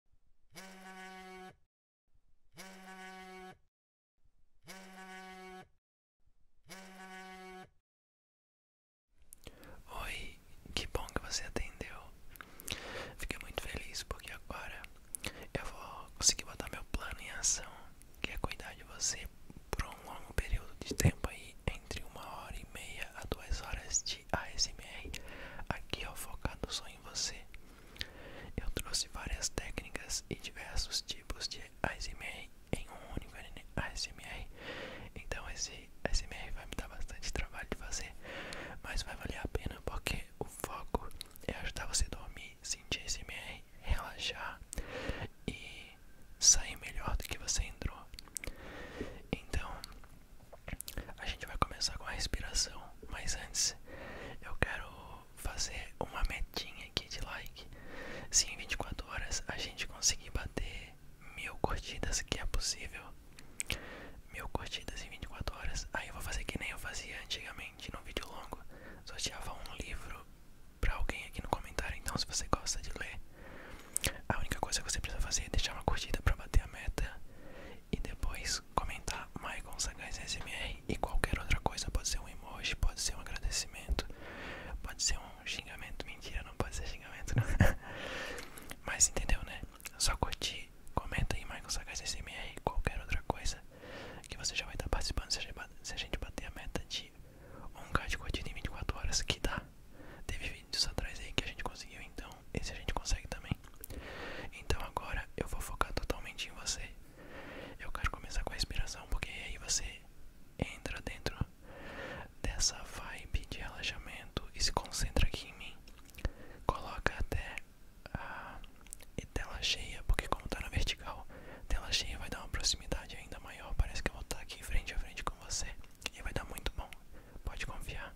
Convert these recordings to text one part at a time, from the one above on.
Oi, que bom que você atendeu. Fiquei muito feliz porque agora eu vou conseguir botar meu plano em ação, que é cuidar de você por um longo período de tempo aí, entre uma hora e meia a duas horas de ASMR. Aqui ó, é focado só em você. Eu trouxe várias técnicas e diversos tipos de ASMR em um único ASMR. Então esse ASMR vai me dar bastante trabalho de fazer, mas vai valer a pena porque o foco é ajudar você a dormir, sentir ASMR, relaxar e sair melhor do que você entrou. Então, a gente vai começar com a respiração, mas antes eu quero fazer uma metinha aqui de like. Se em 24 horas a gente conseguir bater mil curtidas, que é possível, mil curtidas em 24 horas, aí eu vou fazer que nem eu fazia antigamente no vídeo longo, sorteava um livro pra alguém aqui no comentário. Então, se você gosta de ler, a única coisa que você precisa fazer é deixar uma curtida pra bater a meta. E depois Sagaz, comentar Maicon Sagaz SMR e qualquer outra coisa, pode ser um emoji, pode ser um agradecimento, pode ser um xingamento, mentira, não pode ser xingamento não. Mas entendeu né? Só curtir, comenta aí Maicon Sagaz SMR e qualquer outra coisa que você já vai estar participando se a gente bater a meta de 1k de curtida em 24 horas que dá. Teve vídeos atrás aí que a gente conseguiu, então então, esse a gente consegue também. Então agora eu vou focar totalmente em você. Eu quero começar com a respiração, porque aí você entra dentro dessa vibe de relaxamento e se concentra aqui em mim. Coloca até a tela cheia, porque como está na vertical, tela cheia vai dar uma proximidade ainda maior. Parece que eu vou estar tá aqui frente a frente com você e vai dar muito bom. Pode confiar.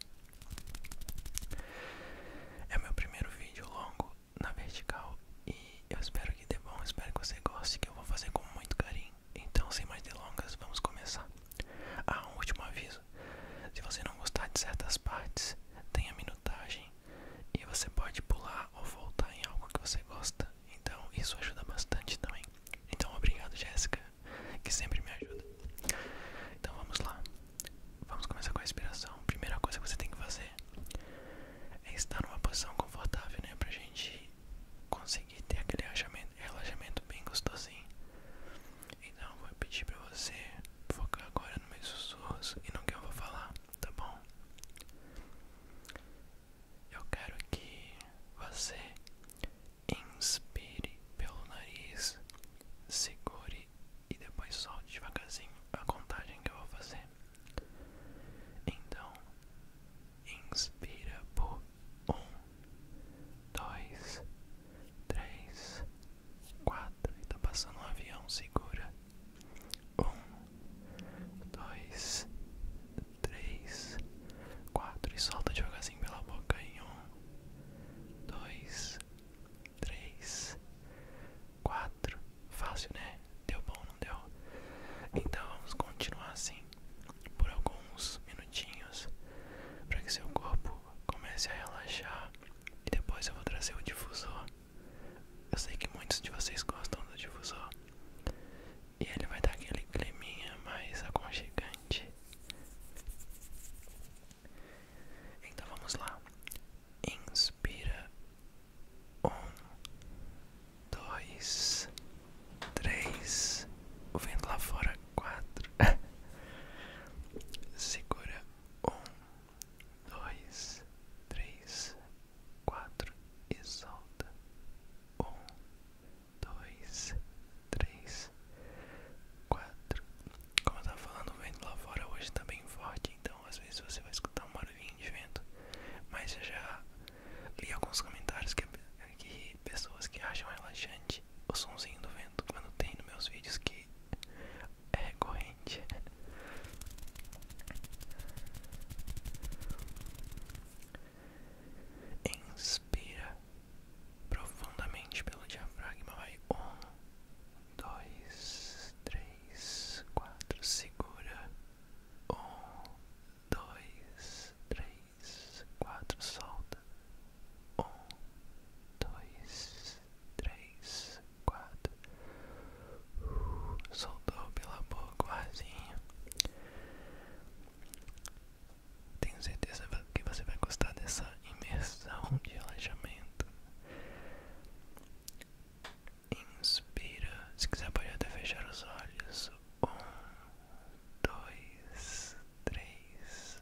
É o meu primeiro vídeo longo na vertical e eu espero que dê bom, espero que você goste, que eu vou fazer com muito carinho. Então, sem mais delongas, vamos começar. Ah, um último aviso: se você não gostar de certas partes, tem a minutagem e você pode pular ou voltar em algo que você gosta. Então, isso ajuda bastante também. Então, obrigado, Jéssica, que sempre me ajuda. Então, vamos lá. Vamos começar com a respiração. Primeira coisa que você tem que fazer é estar numa posição confortável, né? Pra gente conseguir ter aquele relaxamento, bem gostosinho. Então, vou pedir pra você focar agora nos meus sussurros e no que eu vou falar, tá bom? Eu quero que você inspire pelo nariz, segure e depois solte devagarzinho a contagem que eu vou fazer. Então, inspira por um, dois, três, quatro. está passando um avião, segura. Um, dois, três, quatro. E solta devagarzinho pela boca em um, dois. 3, 3, 4. Fácil, né? Deu bom, não deu? Então vamos continuar assim por alguns minutinhos para que seu corpo comece a relaxar e depois eu vou trazer o difusor. Eu sei que muitos de vocês gostam do difusor e ele vai dar aquele creminha mais aconchegante. Então vamos lá inspira um, dois, três, o lá fora quatro, segura um, dois, três, quatro e solta um, dois, três, quatro, como eu tava falando, o vento lá fora hoje tá bem forte, então às vezes você vai escutar um barulhinho de vento. Mas eu já li alguns comentários que, pessoas que acham relaxante o somzinho do vento quando tem nos meus vídeos que é corrente Inspira profundamente pelo diafragma, vai um dois, três, quatro, segura, um, dois, três, quatro, solta, um, dois, três, quatro, uh, soltou pela boca o arzinho. Tenho certeza que você vai gostar dessa imersão de relaxamento. Inspira. Se quiser, pode até fechar os olhos. Um, dois, três,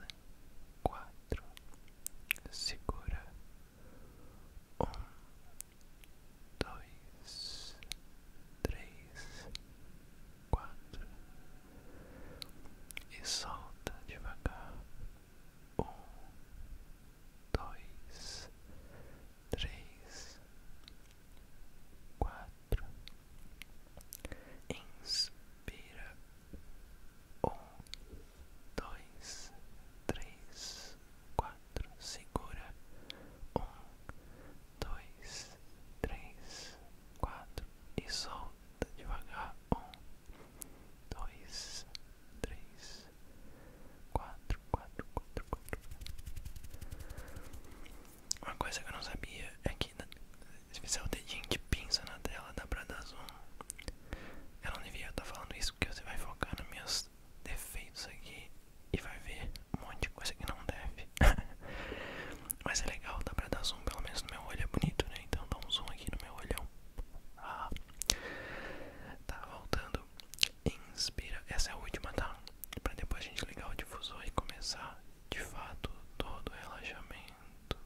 quatro. Segura. Um, dois, três, quatro. E solta devagar um, dois, três, quatro. Inspira um, dois, três, quatro. Segura um, dois, três, quatro e solta devagar um, dois, três, quatro, quatro, quatro, quatro. Uma coisa que eu não sabia é que se fizer é o dedinho de pinça na tela da pra dar zoom. Eu não devia estar falando isso porque você vai focar nos meus defeitos aqui e vai ver um monte de coisa que não deve. Mas é legal, da pra dar zoom, pelo menos no meu olho é bonito, né? Então dá um zoom aqui no meu olhão. Ah. Tá voltando. Inspira. Essa é a última, tá? Pra depois a gente ligar o difusor e começar de fato todo o relaxamento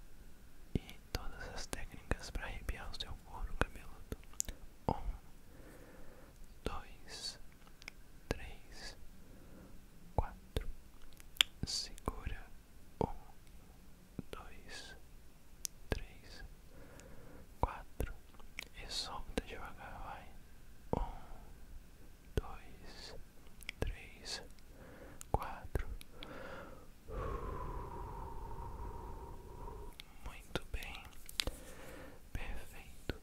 e todas as técnicas para arrepiar o seu couro cabeludo. Um, dois, três, quatro. Segura. Um, dois, três, quatro e solta devagar, vai. Um, dois, três, quatro. Muito bem, perfeito.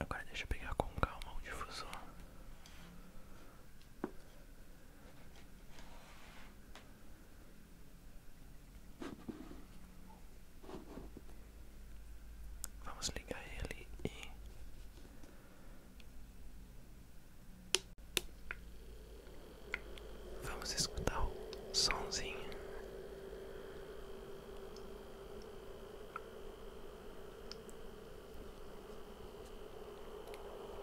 Agora deixa eu pegar com calma o difusor. Vamos ligar ele e vamos escutar o somzinho.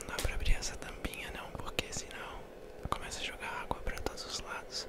Não dá pra abrir essa tampinha não, porque senão Começa a jogar água para todos os lados.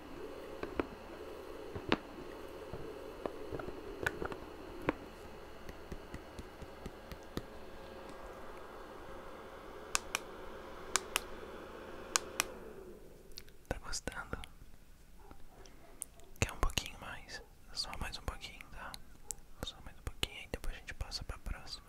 Tá gostando? Quer um pouquinho mais? Só mais um pouquinho, tá? Só mais um pouquinho e depois a gente passa pra próxima.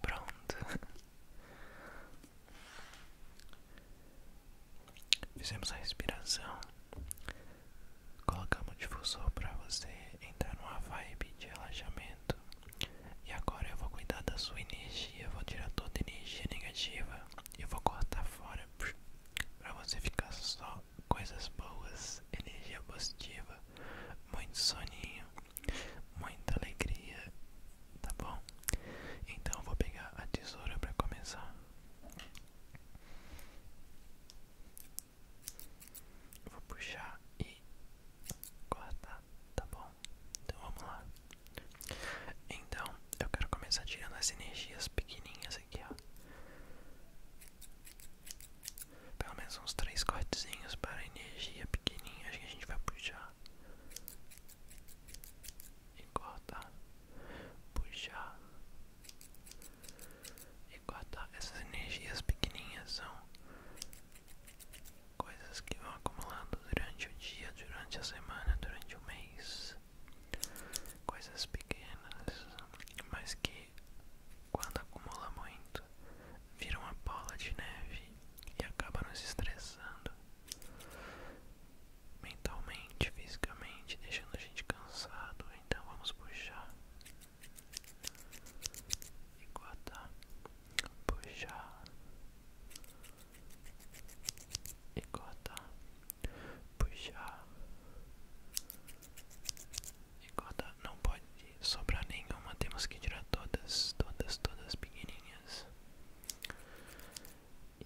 Pronto, fizemos a respiração Colocamos um difusor para você entrar numa vibe de relaxamento. E agora eu vou cuidar da sua energia, vou tirar toda a energia negativa e vou cortar fora para você ficar só coisas boas, energia positiva, muito soninho, muita alegria, tá bom? Então eu vou pegar a tesoura para começar vou puxar e cortar, tá bom? Então vamos lá. Então eu quero começar tirando as energias pequenininhas aqui, ó. Pelo menos uns três cortezinhos para energia pequenininha que a gente vai puxar e cortar, puxar e guardar essas energias pequenininhas são coisas que vão acumulando durante o dia, durante a semana, durante o mês, coisas pequenas, mas que quando acumulam muito viram uma bola de neve e acaba nos estressando mentalmente, fisicamente, deixando a gente cansado. Então vamos puxar Enquadrar, puxa, e cortar, puxar e cortar. Não pode sobrar nenhuma, temos que tirar todas, todas, todas pequenininhas.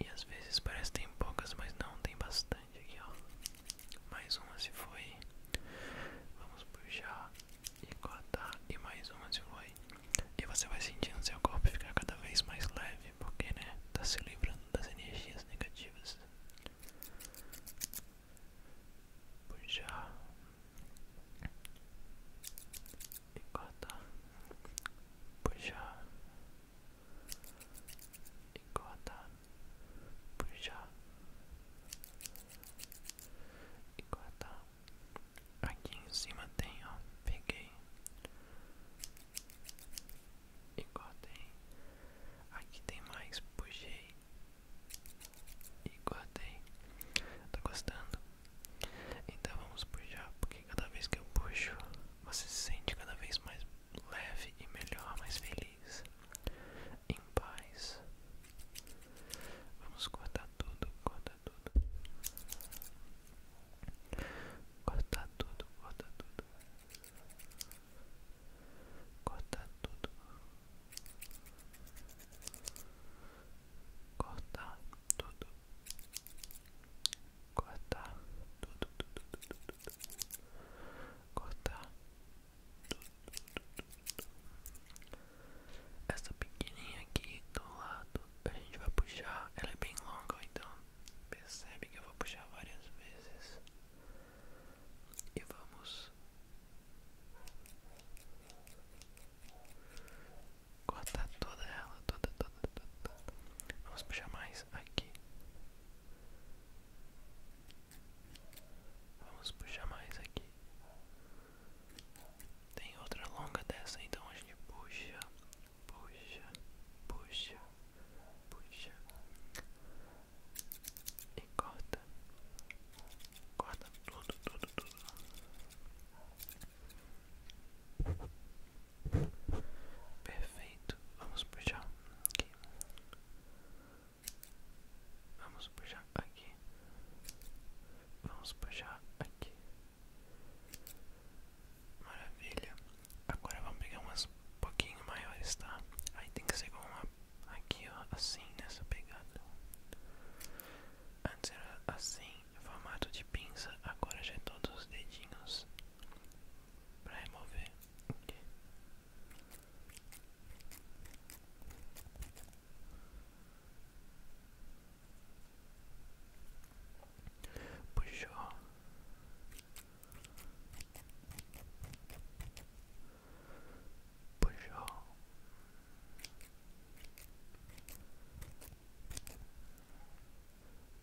E às vezes parece que tem poucas, mas não, tem bastante. Mais uma se foi. Vamos puxar e cortar. E mais uma se foi. E você vai sentindo seu corpo ficar cada vez mais leve, porque, né, tá se livrando das energias negativas. Puxar e cortar. Puxar e cortar puxar e cortar. Aqui em cima tem, ó, peguei e cortei. Aqui tem mais, puxei e cortei. Tá gostando? Então vamos puxar, porque cada vez que eu puxo, você se sente cada vez mais leve e melhor, mais feliz em paz. Vamos cortar tudo, cortar tudo. Cortar tudo, cortar tudo. Cortar tudo. Cortar tudo. Cortar tudo, tudo, tudo, tudo. Cortar essa pequenininha aqui do lado a gente vai puxar, ela é bem longa, então percebe que eu vou puxar várias vezes e vamos cortar toda ela, toda, toda, Vamos puxar mais aqui. Vamos puxar mais aqui. Tem outra longa dessa, então a gente puxa, puxa, puxa, puxa e corta, corta tudo, tudo, tudo. Perfeito, vamos puxar aqui. Vamos puxar aqui. Vamos puxar aqui. Maravilha. Agora vamos pegar umas pouquinho maiores, tá? Aí tem que ser com uma aqui, ó, assim, nessa pegada. Antes era assim, formato de pinça, agora já é todos os dedinhos para remover. Okay puxa puxa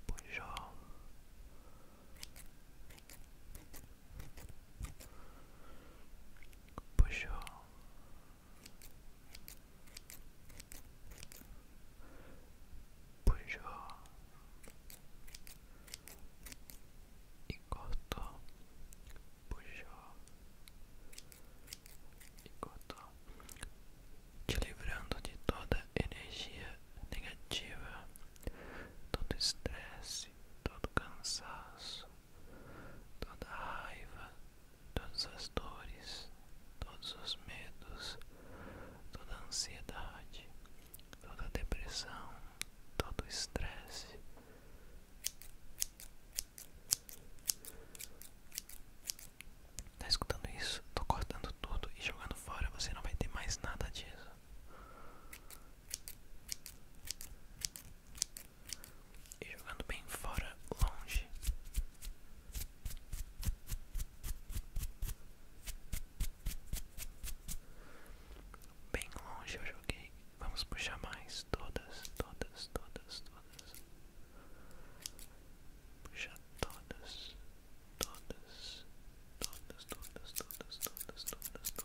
puxa puxou, puxou e cortou, puxou e cortou, te livrando de toda energia negativa, todo estresse, todo cansaço, toda a raiva, todas as dores, todos os medos, toda a ansiedade, toda a depressão, todo o estresse. Tá escutando isso? Tô cortando tudo e jogando fora. Você não vai ter mais nada disso. E jogando bem fora, longe. Bem longe eu joguei. Vamos puxar mais todas, todas, todas, todas. Puxar todas, todas, todas, todas, todas, todas, todas, todas.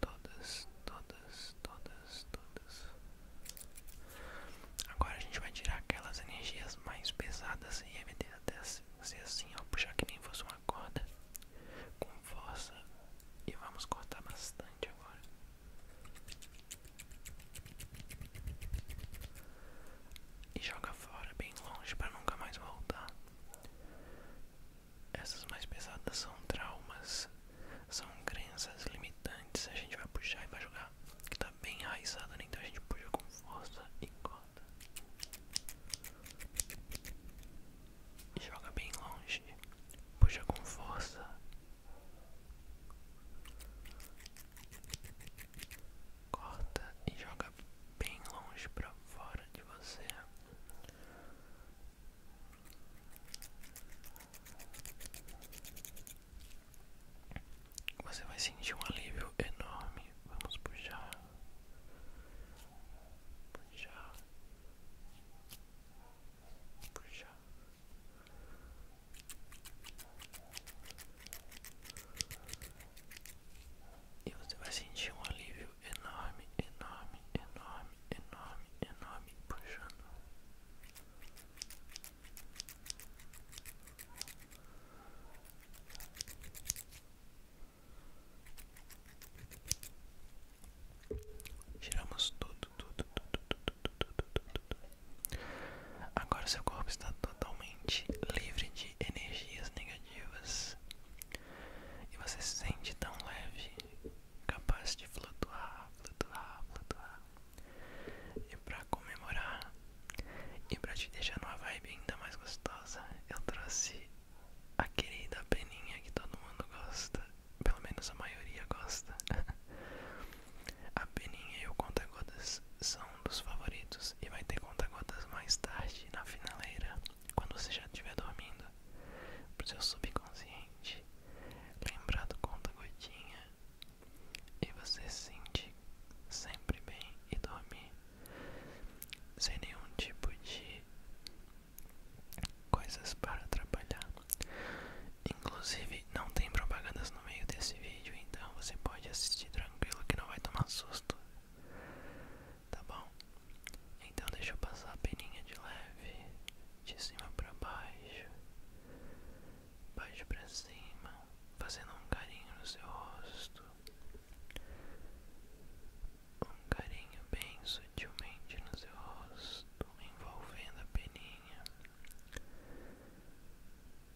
Todas, todas, todas, todas. Agora a gente vai tirar aquelas energias mais pesadas e remeter até ser assim, ó. Puxar que nem fosse uma corda com força. E vamos cortar bastante agora. E joga fora bem longe para nunca mais voltar. Essas mais pesadas são traumas, são crenças limitantes. A gente vai puxar e vai jogar, que tá bem enraizado, né? Então a gente puxa com força e corta. joga bem longe, puxa com força. Corta e joga bem longe pra fora de você. Você vai sentir um alívio enorme. Vamos puxar, puxar, puxar. E você vai sentir um alívio enorme, enorme, enorme, enorme, enorme puxando. Tiramos tudo, tudo, tudo, tudo, tudo, tudo, tudo. Agora seu corpo está totalmente livre de energias negativas. E você se sente tão leve, capaz de flutuar, flutuar, flutuar. E pra comemorar e pra te deixar numa vibe ainda mais gostosa, eu trouxe a querida peninha que todo mundo gosta, pelo menos a maioria gosta. a peninha e o conta-gotas são dos favoritos e vai ter conta-gotas mais tarde na finaleira quando você já estiver dormindo, para o seu subconsciente lembrado do conta-gotinha e você se sentir sempre bem e dorme sem nenhum tipo de coisas para atrapalhar. Inclusive, não tem propagandas no meio desse vídeo, então você pode assistir tranquilo que não vai tomar susto tá bom? Então deixa eu passar a peninha de leve, de cima para baixo, baixo para cima, fazendo um carinho no seu rosto, um carinho bem sutilmente no seu rosto, envolvendo a peninha.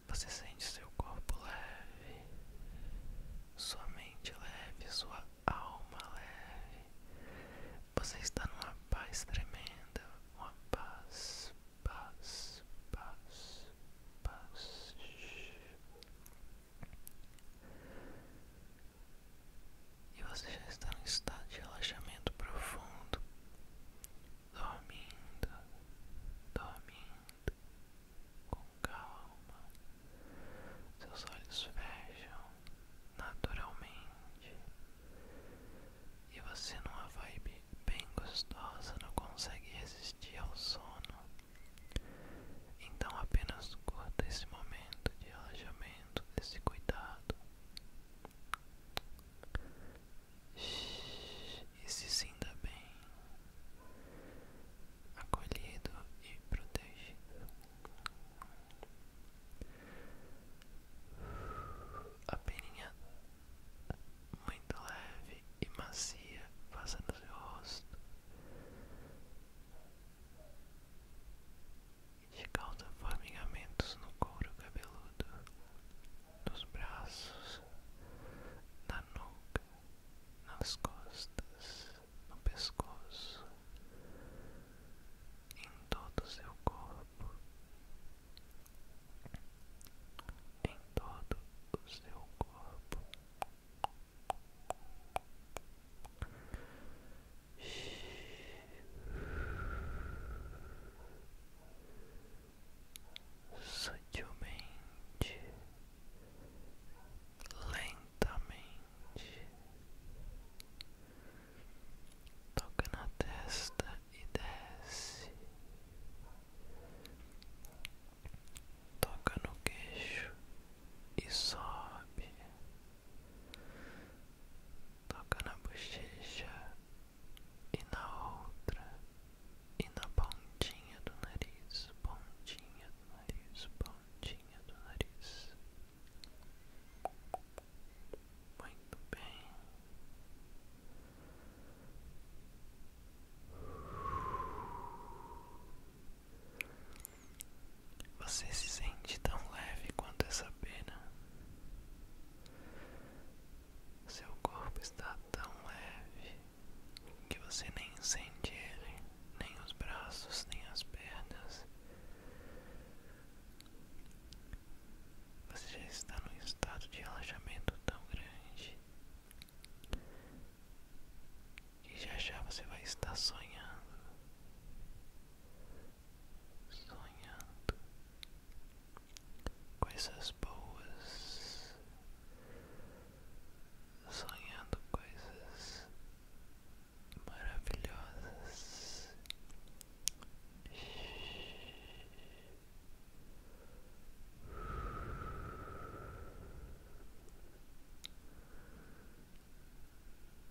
Você sente seu corpo leve, sua mente leve, sua alma leve. Você está numa paz tremenda, uma paz, paz, paz, paz. E você já está num estado de relaxamento profundo, dormindo, dormindo, com calma. Seus olhos fecham naturalmente e você numa vibe bem gostosa não consegue resistir ao sono. Então apenas curta esse momento de relaxamento, desse cuidado. E se sinta bem, acolhido e protegido. A peninha muito leve e macia passando seu rosto. Te causa formigamentos no couro cabeludo, dos braços, na nuca, nas costas no pescoço, em todo seu corpo, em todo seu corpo. Sutilmente, lentamente, Toca na testa e desce. Toca no queixo e sobe. Toca na bochecha e na outra e na pontinha do nariz, pontinha do nariz, pontinha do nariz. Muito bem. Você se sente tão leve quanto essa pena. Seu corpo está tão leve que você nem sente ele, nem os braços, nem as pernas, você já está num estado de relaxamento tão grande que já já você vai estar sonhando, sonhando coisas boas, sonhando coisas maravilhosas.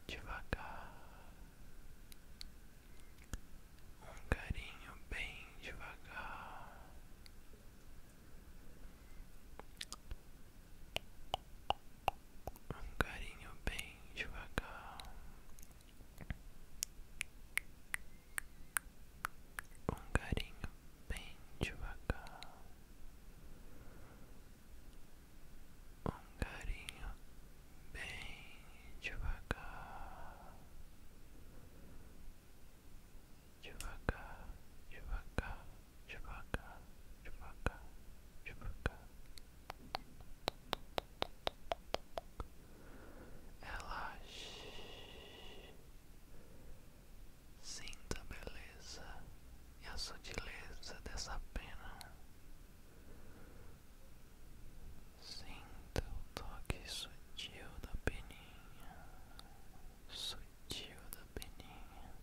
Devagar, um carinho bem devagar um carinho bem devagar, um carinho bem devagar, um carinho bem devagar, devagar, devagar, devagar, devagar, devagar. Ela sinta a beleza e a sutileza dessa pena. Sinta o toque sutil da peninha, sutil da peninha.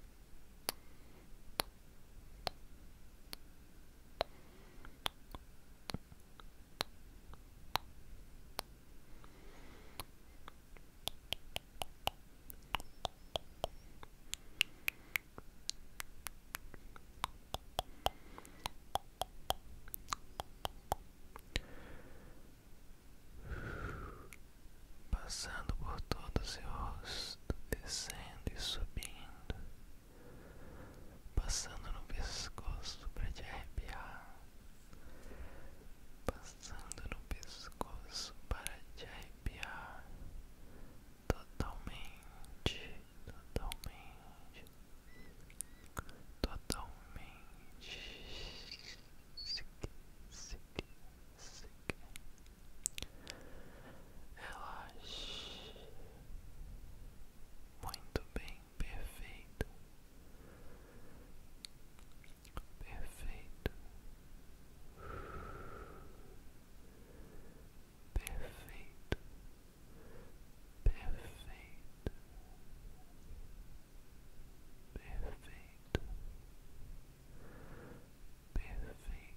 Passando por todo seu rosto, descendo e subindo passando no pescoço para te arrepiar, passando no pescoço para te arrepiar totalmente, totalmente, totalmente. Sique, sique, sique. Relaxe muito bem, perfeito, perfeito, perfeito, perfeito, perfeito. Perfeito,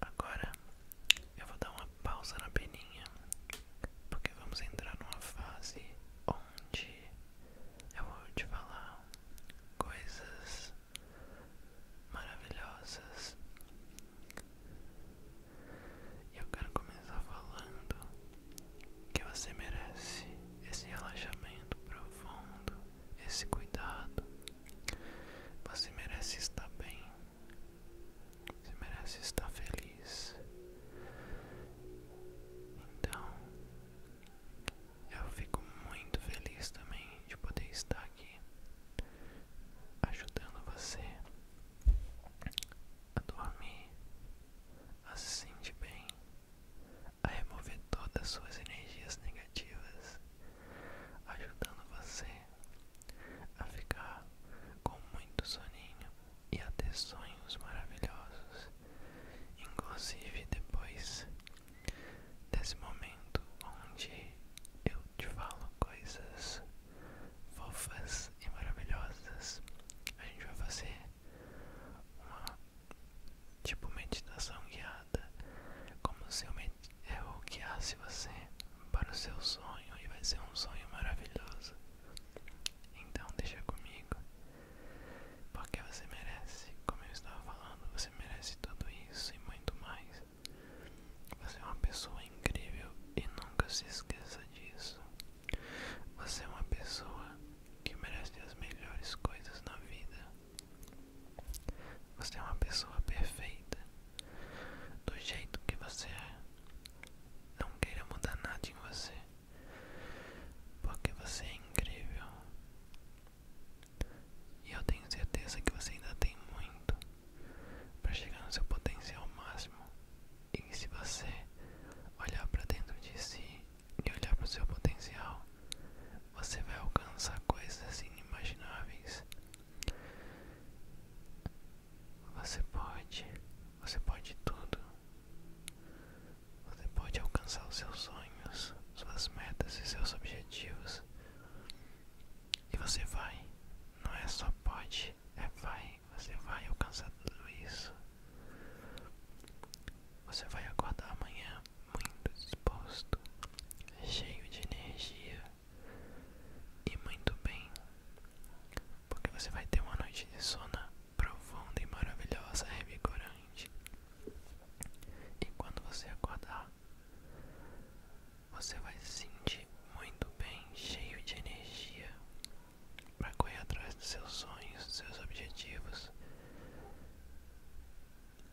Agora eu vou dar uma pausa na peninha, porque vamos entrar numa fase onde eu vou te falar coisas maravilhosas. E eu quero começar falando que você merece esse relaxamento profundo, esse cuidado. Você merece estar bem. Você merece estar feliz. Então, eu fico muito feliz também de poder estar aqui ajudando você a dormir, a se sentir bem, a remover todas as suas energias negativas, ajudando você a ficar com muito soninho e até sonhos maravilhosos, inclusive depois desse momento onde eu te falo coisas fofas e maravilhosas. A gente vai fazer uma tipo meditação guiada, como se eu med é o que hace você para o seu sonho e vai ser um sonho maravilhoso. Então deixa comigo, porque você merece, como eu estava falando, você merece tudo isso e muito mais. Você é uma pessoa incrível e nunca se esqueça disso. Você é uma pessoa que merece as melhores coisas na vida. Você é uma pessoa perfeita do jeito que você é. Não queira mudar nada em você, porque você é incrível. E eu tenho certeza que você ainda tem muito para chegar no seu potencial máximo. E se você olhar para dentro de si e olhar para o seu potencial, você vai alcançar coisas inimagináveis. Você pode, você pode tudo. Você pode alcançar os seus sonhos, suas metas e seus objetivos. E você vai, não é só pode, é vai. Você vai alcançar tudo isso. Você vai aguardar amanhã muito disposto, cheio de energia, e muito bem, porque você vai ter uma noite de sono profunda e maravilhosa, revigorante. E quando você acordar, você vai se sentir muito bem, cheio de energia para correr atrás dos seus sonhos, dos seus objetivos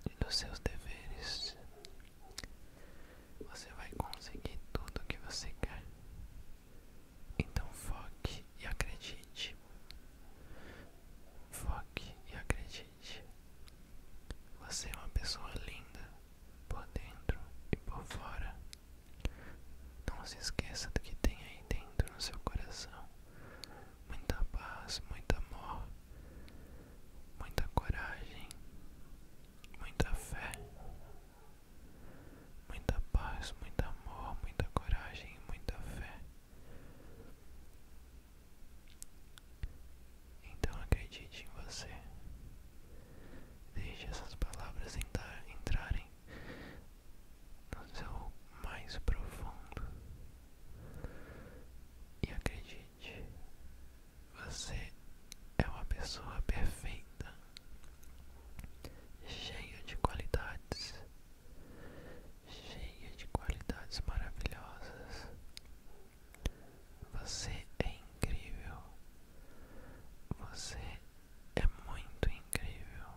e dos seus deveres você vai conseguir tudo o que você quer. Então foque e acredite. Foque e acredite. Você é uma pessoa linda por dentro e por fora. Não se esqueça do que tem aí dentro no seu coração. Muita paz, muito amor, muita coragem, muita fé muita paz, muito amor, muita coragem e muita fé. Então acredite em você. Deixe essas palavras entrar, entrarem no seu mais profundo. E acredite, você é uma pessoa perfeita, cheia de qualidades, cheia de qualidades maravilhosas. Você é incrível. Você é muito incrível.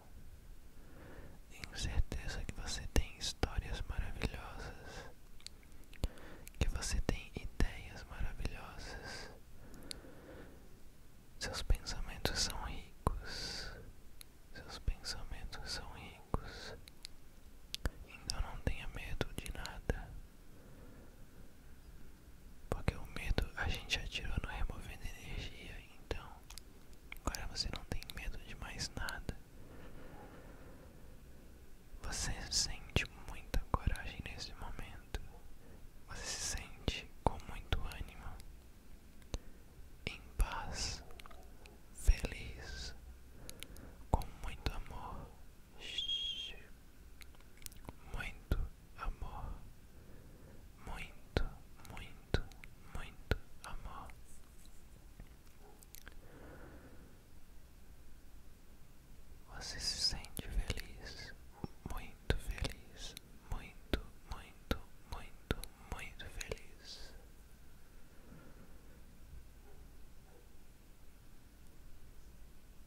Tenho certeza que você tem histórias maravilhosas, que você tem ideias maravilhosas, seus pensamentos são ricos. Seus pensamentos são ricos. Então não tenha medo de nada. Porque o medo a gente atirou no removendo energia. Então agora você não tem medo de mais nada. Você sente muita coragem nesse momento. Você se sente com muito ânimo, em paz, feliz, com muito amor. Muito amor, muito, muito, muito amor. Você se sente feliz, muito feliz, muito, muito, muito, muito feliz.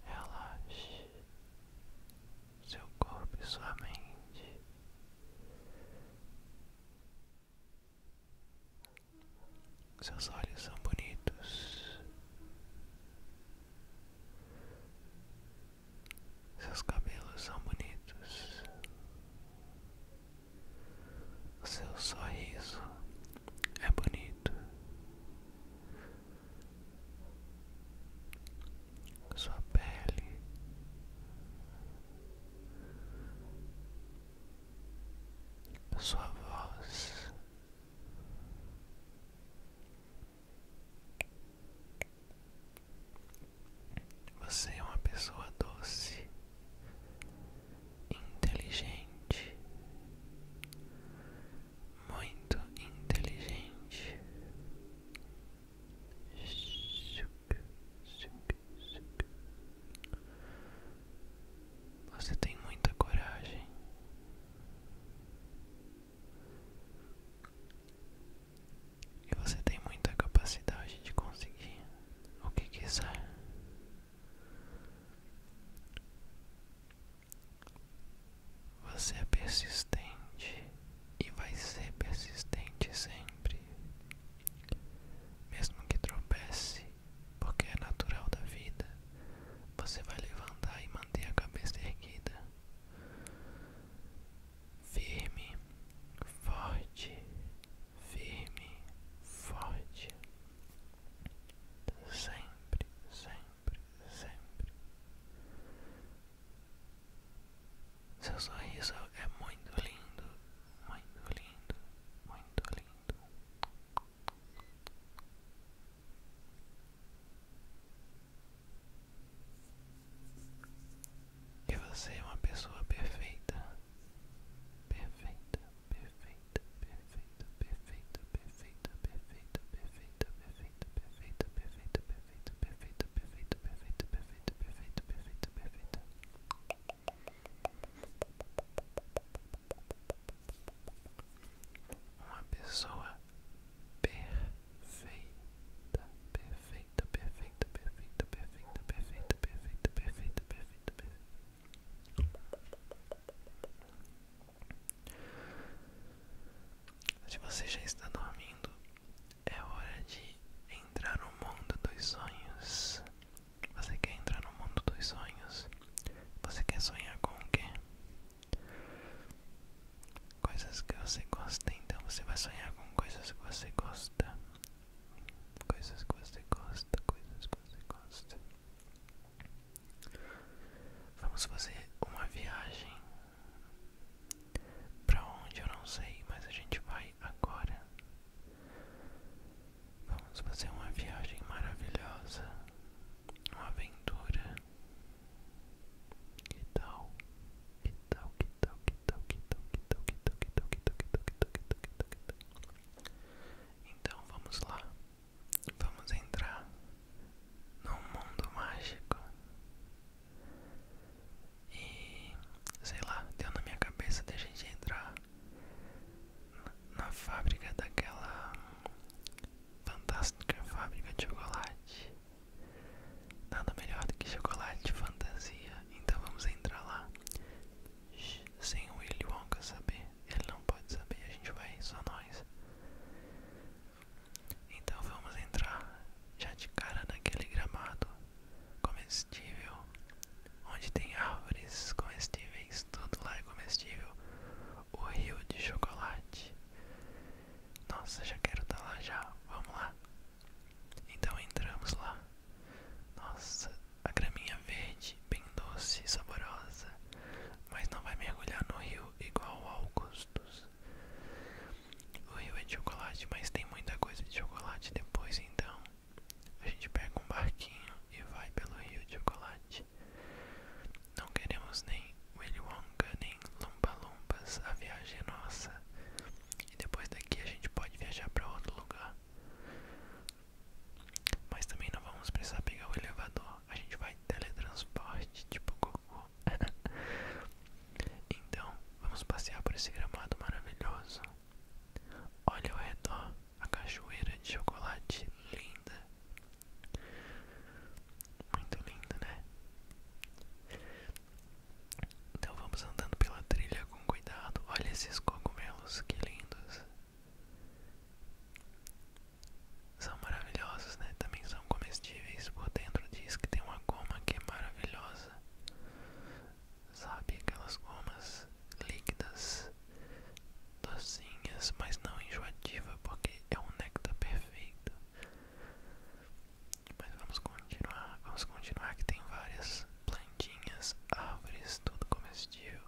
Relaxe seu corpo e sua mente. Seus olhos são bonitos. Seus cabelos são bonitos. seu sorriso é bonito. Sua pele sua voz você é uma pessoa doce, inteligente, muito inteligente. Você tem muita coragem. E você tem muita capacidade de conseguir o que quiser. Você é persistente e vai ser persistente sempre, mesmo que tropece, porque é natural da vida. Você vai levantar e manter a cabeça erguida firme, forte, firme, forte, sempre, sempre, sempre. Seu sorriso é muito lindo, muito lindo, muito lindo. Que você é uma pessoa perfeita. Perfeita, perfeita, perfeita, perfeita, perfeita, perfeita, perfeita, perfeita, perfeita, perfeita, perfeita, perfeita, perfeita, perfeita, perfeita, perfeita, perfeita, perfeita. Uma pessoa perfeita, perfeita, perfeita, perfeita, perfeita, perfeita, perfeita, perfeita, perfeita, perfeita. Se você já está dormindo, é hora de entrar no mundo dos sonhos. Você quer entrar no mundo dos sonhos? Você quer sonhar com o quê? coisas que você gosta, então você vai sonhar com coisas que você gosta, coisas que você gosta, coisas que você gosta. Vamos fazer uma viagem para onde eu não sei, mas a gente vai agora. Vamos fazer uma viagem maravilhosa, uma aventura que tal? Que tal? Que tal? Que tal? Que tal? Que tal? Que tal? Então vamos lá. Vamos entrar num mundo mágico. E sei lá, deu na minha cabeça de gente entrar na fábrica daquela fantástica fábrica de chocolate Nada melhor do que chocolate fantasia, então vamos entrar lá. sem o Willy Wonka saber, ele não pode saber, a gente vai só nós. Então vamos entrar já de cara naquele gramado comestível, onde tem árvores comestíveis, tudo lá é comestível. O rio de chocolate nossa, já quero estar tá lá já. Vamos lá. Então entramos lá. Nossa, a graminha verde, bem doce saborosa. Mas não vai mergulhar no rio igual ao Augustus. O rio é de chocolate, mas tem muita coisa de chocolate depois, então a gente pega um barquinho e vai pelo rio de chocolate. Não queremos nem Willy Wonka nem Lumpa Lumpas, a viagem é nossa. E depois daqui a gente pode viajar para outro lugar. Mas também não vamos precisar pegar o elevador, a gente vai teletransporte, tipo Goku. então, vamos passear por esse gramado maravilhoso. Olha ao redor a cachoeira de chocolate linda. Muito lindo, né? Então vamos andando pela trilha com cuidado. Olha esses cogumelos, que lindos. São maravilhosos, né? Também são comestíveis. Por dentro diz que tem uma goma que é maravilhosa. Sabe aquelas gomas líquidas, docinhas, mas não enjoativa, porque é um néctar perfeito. Mas vamos continuar, vamos continuar que tem várias plantinhas, árvores, tudo comestível.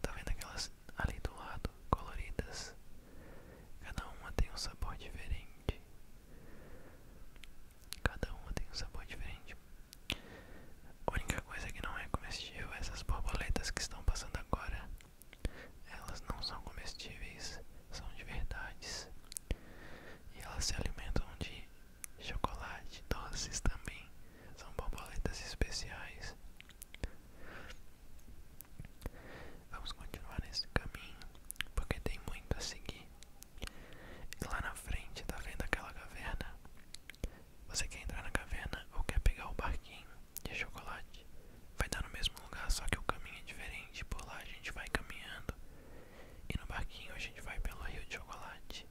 Tá vendo aquelas ali do lado, coloridas? Cada uma tem um sabor diferente. Cada uma tem um sabor diferente. A única coisa que não é comestível é essas borboletas que estão passando agora. Elas não são comestíveis, são de verdades. E elas se alimentam de chocolate, doces também. São borboletas especiais. Vamos continuar nesse caminho, porque tem muito a seguir. lá na frente, tá vendo aquela caverna? Você quer entrar na caverna ou quer pegar o barquinho de chocolate? vai dar no mesmo lugar, só que o caminho é diferente. Por lá a gente vai caminhando e no barquinho a gente vai pelo Rio de Chocolate.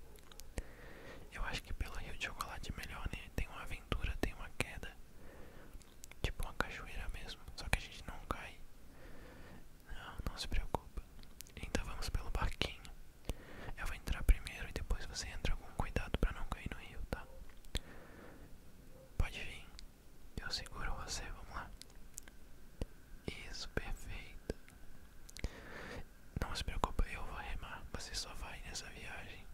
Eu acho que pelo Rio de Chocolate é melhor, né? Tem uma aventura, tem uma queda, tipo uma cachoeira mesmo, só que a gente não cai. Não, não se preocupa. Então vamos pelo barquinho. Eu vou entrar primeiro e depois você entra com cuidado para não cair no rio, tá? Pode vir. Eu seguro você, vamos lá. Isso, perfeito. Não se preocupa, eu vou remar. Você só vai nessa viagem.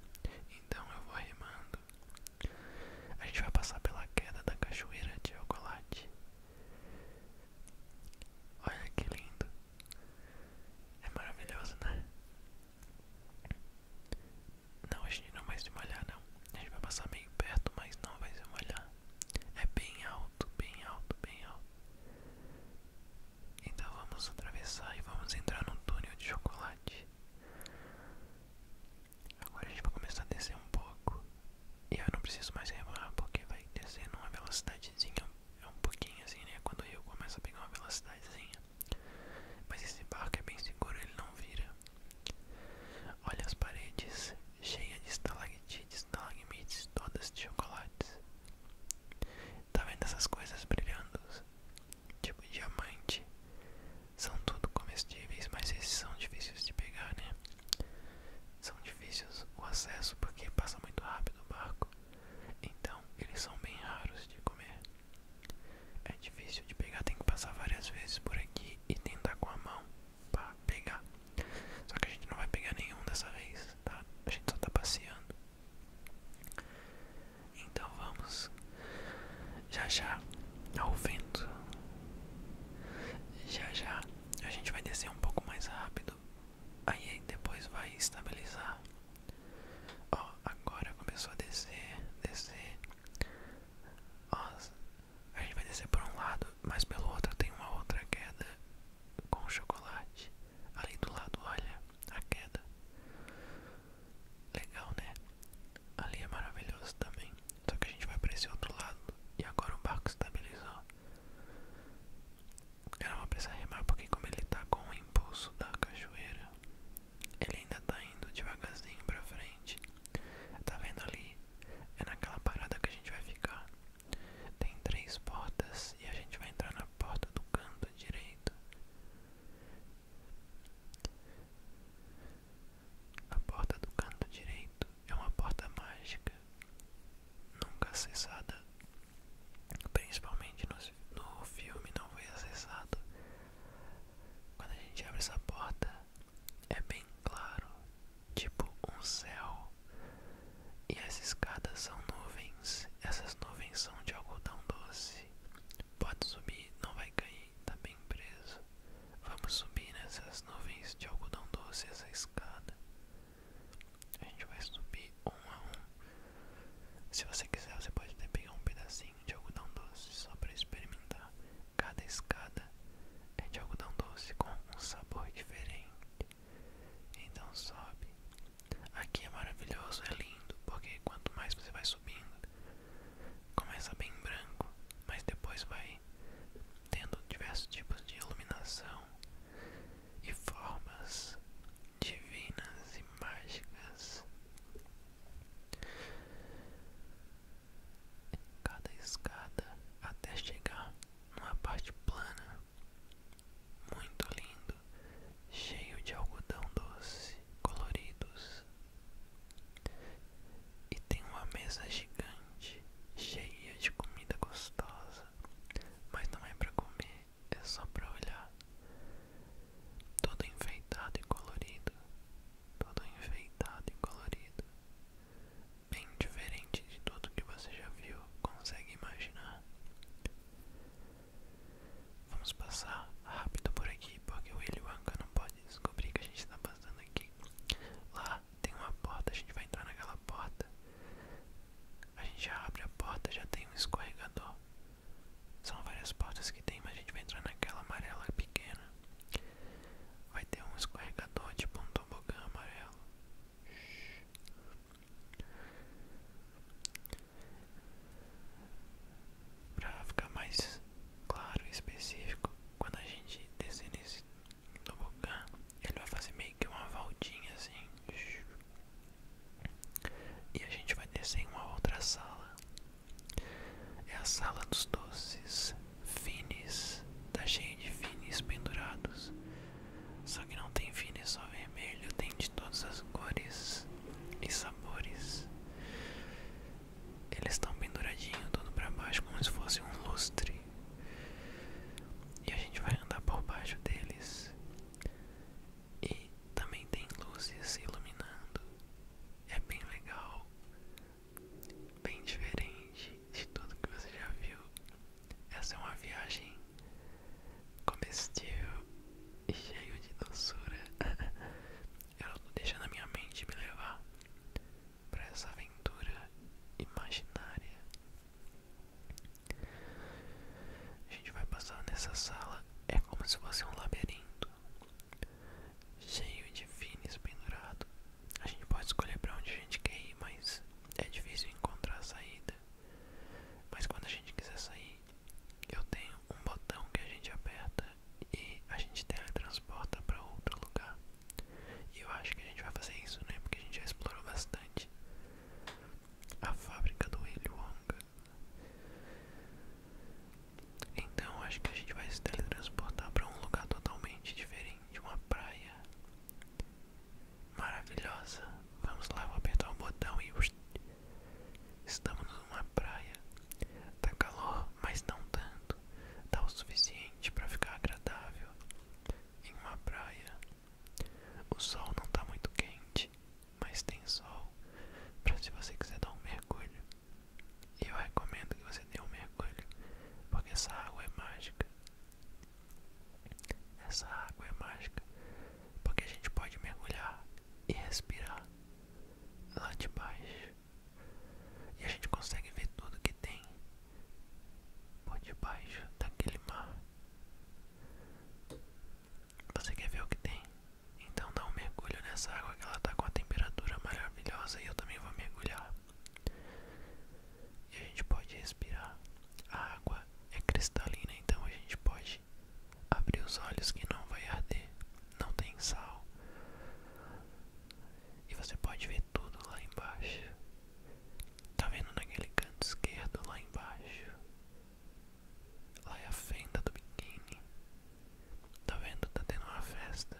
Então eu vou remando. A gente vai passar pela queda da cachoeira de chocolate. Olha que lindo. É maravilhoso, né? Não, a gente não vai se molhar não. A gente vai passar meio perto, mas não vai se molhar. É bem alto, bem alto, bem alto. Então vamos atravessar e vamos entrar num túnel de chocolate. Agora a gente vai começar a descer um pouco. E eu não preciso mais remar porque vai descer numa velocidadezinha. É um pouquinho assim, né? Quando o rio começa a pegar uma velocidadezinha. Mas esse barco é bem seguro, ele não vira. Olha as paredes cheia de estalactites, estalagmites, todas de chocolates. Tá vendo essas coisas brilhando? Tipo diamante. São tudo comestíveis, mas esses são difíceis de pegar, né? São difíceis o acesso porque passa muito rápido o barco. Então, eles são bem raros de comer. É difícil de pegar, tem que passar várias vezes por aqui e tentar com a mão pra pegar. Só que a gente não vai pegar nenhum dessa vez, tá? A gente só tá passeando. Então vamos. Já já ao tá vento. Já já a gente vai descer um pouco mais rápido. Aí depois vai estabilizar. Ó, agora começou a descer, descer. Ó, a gente vai descer por um lado, mas pelo outro tem uma outra queda com chocolate. Ali do lado, olha a queda. Legal, né? Ali é maravilhoso também. Só que a gente vai para esse outro lado e agora o barco estabilizou. Eu não vou precisar remar porque como ele está com o impulso da cachoeira, ele ainda está indo devagarzinho para frente. Tá vendo ali? É naquela parada que a gente vai ficar. Tem três portas e a gente vai entrar na porta do canto direito. A porta do canto direito é uma porta mágica, nunca acessada, principalmente no, filme não foi acessado. Quando a gente abre essa porta, é bem claro, tipo um céu. E as escadas são nuvens, essas nuvens são de algodão doce. Pode subir, não vai cair, tá bem preso. Vamos subir nessas nuvens de algodão doce, essa escada. A gente vai subir um a um. Se você quiser, você pode até pegar um pedacinho de algodão doce só para experimentar. Cada escada é de algodão doce com um sabor diferente. Então sobe. Aqui é maravilhoso, é lindo, porque quanto mais você vai subindo, começa bem branco, mas depois vai tendo diversos tipos de iluminação e formas divinas e mágicas cada escada até chegar numa parte plana, muito lindo, cheio de algodão doce, coloridos. E tem uma mesa gigante, cheia de comida gostosa, mas não é para comer, é só para olhar. Todo enfeitado e colorido, todo enfeitado e colorido bem diferente de tudo que você já viu, consegue imaginar. Vamos passar rápido por aqui, porque o Willy Wonka não pode descobrir que a gente está passando aqui. Lá tem uma porta, a gente vai entrar naquela porta. A gente abre a porta, já tem um escorregador. São várias portas que tem, mas a gente vai entrar naquela amarela pequena. Vai ter um escorregador tipo um tobogã amarelo. Pra ficar mais claro e específico, quando a gente descer nesse tobogã, ele vai fazer meio que uma voltinha assim. E a gente vai descer em uma outra sala. É a sala dos doces. Fines, tá cheio de finis pendurados. Só que não tem finis só vermelho, tem de todas as cores e sabores. Eles estão penduradinho todo para baixo como se fosse um lustre. E a gente vai andar por baixo deles. E também tem luzes iluminando. É bem legal bem diferente de tudo que você já viu. Essa é uma viagem comestível e cheia de doçura. Eu tô deixando a minha mente me levar para essa aventura imaginária. A gente vai passar nessa sala, é como se fosse um labirinto cheio de vines pendurados a gente pode escolher para onde a gente quer ir, mas é difícil encontrar a saída. Mas quando a gente quiser sair, eu tenho um botão que a gente aperta e a gente teletransporta para outro lugar. E eu acho que a gente vai fazer isso, né? Porque a gente já explorou bastante a fábrica do Willy Wonka. Então acho que a gente vai se teletransportar para um lugar totalmente diferente, uma praia Maravilhosa. Vamos lá, vou apertar o botão e estamos numa praia. Tá calor, mas não tanto. Tá o suficiente para ficar agradável. Em uma praia. O sol não tá muito quente, mas tem sol. Para se você quiser dar um mergulho. Eu recomendo que você dê um mergulho, porque essa água é mágica. Essa água é mágica porque a gente pode mergulhar e respirar lá de baixo e a gente consegue ver tudo que tem por debaixo daquele mar. Você quer ver o que tem? Então dá um mergulho nessa água que ela está com a temperatura maravilhosa e eu também vou mergulhar. E a gente pode respirar. A água é cristalina, então a gente pode abrir os olhos que não vai arder, não tem sal. E você pode ver tudo lá embaixo. Tá vendo naquele canto esquerdo lá embaixo? Lá é a fenda do biquíni. Tá vendo? Tá tendo uma festa.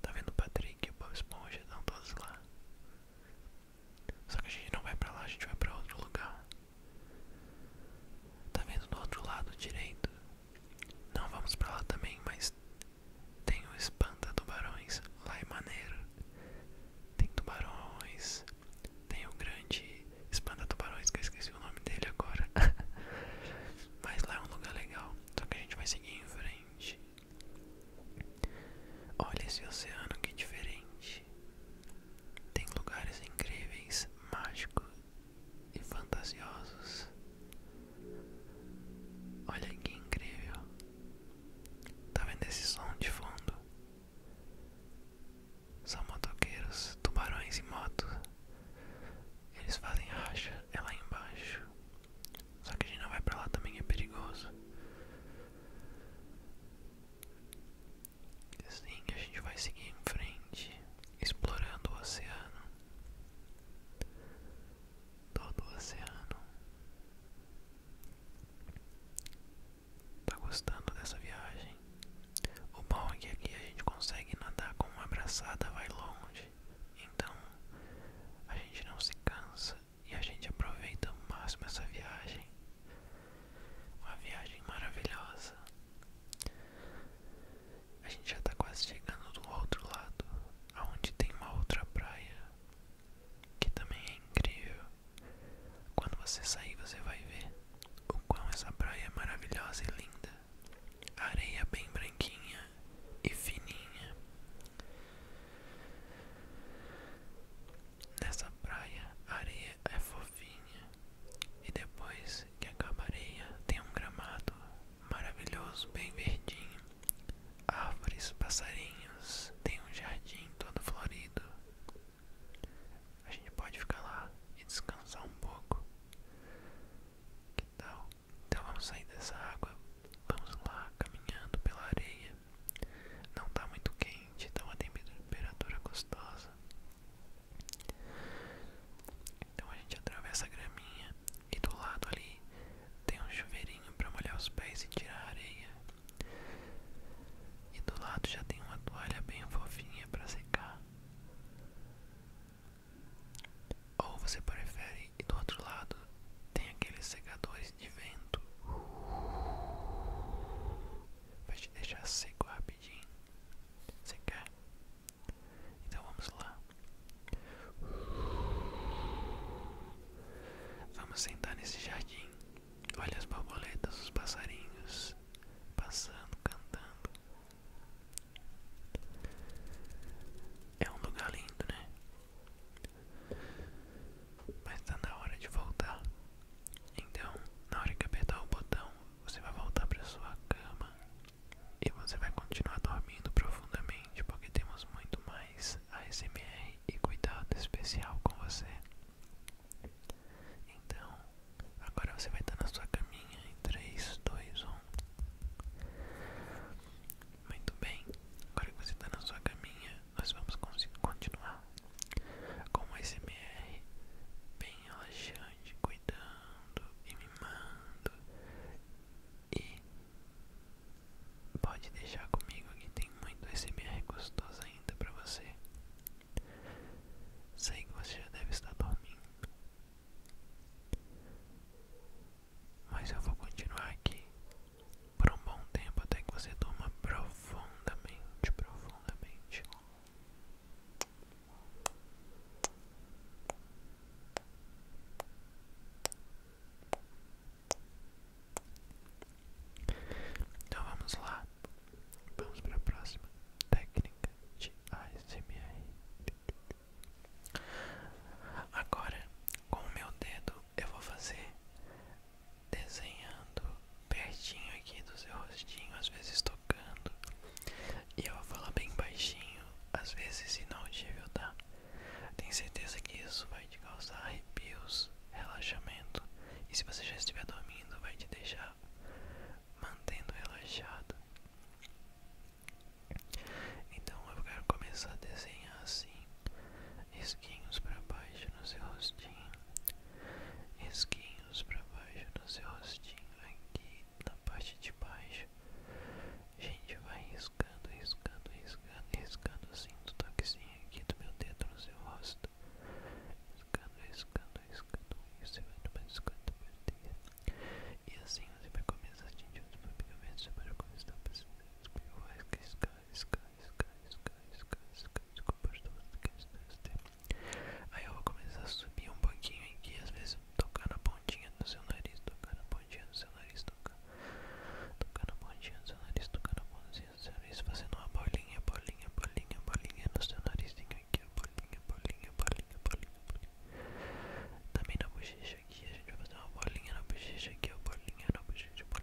Tá vendo o Patrick e o Bob Esponja? Estão todos lá. Só que a gente não vai pra lá, a gente vai pra outro lugar. Tá vendo do outro lado direito? Não vamos pra lá também, mas tem o Espanta Tubarões. Lá é maneiro. Tem tubarões. Tem o grande Espanta Tubarões, que eu esqueci o nome dele agora. mas lá é um lugar legal. Só que a gente vai seguir em frente. Olha esse oceano que diferente. Tem lugares incríveis, mágicos e fantasiosos. Olha que incrível. Tá vendo esse som de fundo? São motoqueiros, tubarões e motos. Eles fazem racha, é lá embaixo. Só que a gente não vai pra lá também, é perigoso. Assim a gente vai seguir em frente, explorando o oceano. Todo o oceano. Tá gostando dessa viagem? O bom é que aqui a gente consegue nadar com uma braçada vai longe. Então a gente não se cansa e a gente aproveita ao máximo essa viagem. Uma viagem maravilhosa. A gente já está quase chegando do outro lado, aonde tem uma outra praia que também é incrível. Quando você sair, você vai ver o quão essa praia é maravilhosa e linda. areia bem branquinha, e fininha. Nessa praia a areia é fofinha e depois que acaba a areia tem um gramado maravilhoso, bem verdinho, árvores, passarinhos, tem um jardim todo florido. A gente pode ficar lá e descansar um pouco. Que tal? Então vamos sair dessa água, vamos lá caminhando pela areia. Não está muito quente, tá uma temperatura gostosa. Então a gente atravessa a graminha e do lado ali tem um chuveirinho para molhar os pés e tirar a areia. E do lado já tem uma toalha bem fofinha para secar. Ou você prefere e do outro lado tem aqueles secadores de vento. Vai te deixar seco rapidinho. Secar. Então vamos lá. Vamos sentar nesse jardim. Olha as borboletas, os passarinhos passando, cantando. É um lugar lindo, né? Mas está na hora de voltar. Então, na hora que apertar o botão, você vai voltar para sua cama e você vai continuar dormindo profundamente, porque temos muito mais ASMR e cuidado especial com você. Então, agora você vai estar na sua caminha em 3, 2, 1. Muito bem, agora que você está na sua caminha, nós vamos continuar com o SMR bem relaxante, cuidando e mimando. E pode deixar comigo que tem muito SMR gostoso ainda para você. Sei que você já deve estar dormindo. Mas eu vou continuar aqui por um bom tempo até que você durma profundamente, profundamente. Então vamos lá, vamos para a próxima técnica de ASMR. Agora com o meu dedo eu vou fazer desenhando pertinho aqui do seu rostinho, às vezes tocando. E eu vou falar bem baixinho, às vezes inaudível, tá? Tenho certeza que isso vai te causar arrepios, relaxamento. E se você já estiver dormindo, vai te deixar mantendo relaxado. Então eu quero começar a desenhar assim esquinhos para baixo no seu rostinho, esquinhos para baixo no seu rostinho, aqui na parte de baixo. gente vai riscando, riscando, riscando, riscando assim do toquezinho aqui do meu dedo no seu rosto. Riscando, riscando, riscando, e você vai tomar desconto perder. E assim você vai começar a atingir os movimentos para começar a perceber os riscar, riscar, Aí eu vou começar a subir um pouquinho aqui, às vezes tocar na pontinha do seu nariz, tocar na pontinha do seu nariz, tocar, tocar na pontinha do seu nariz, tocar na pontinha do seu nariz, fazendo uma bolinha, bolinha, bolinha, bolinha no seu narizinho aqui, bolinha, bolinha, bolinha, bolinha, Também na bochecha aqui, a gente vai fazer uma bolinha na bochecha aqui, a bolinha na bochecha, bolinha.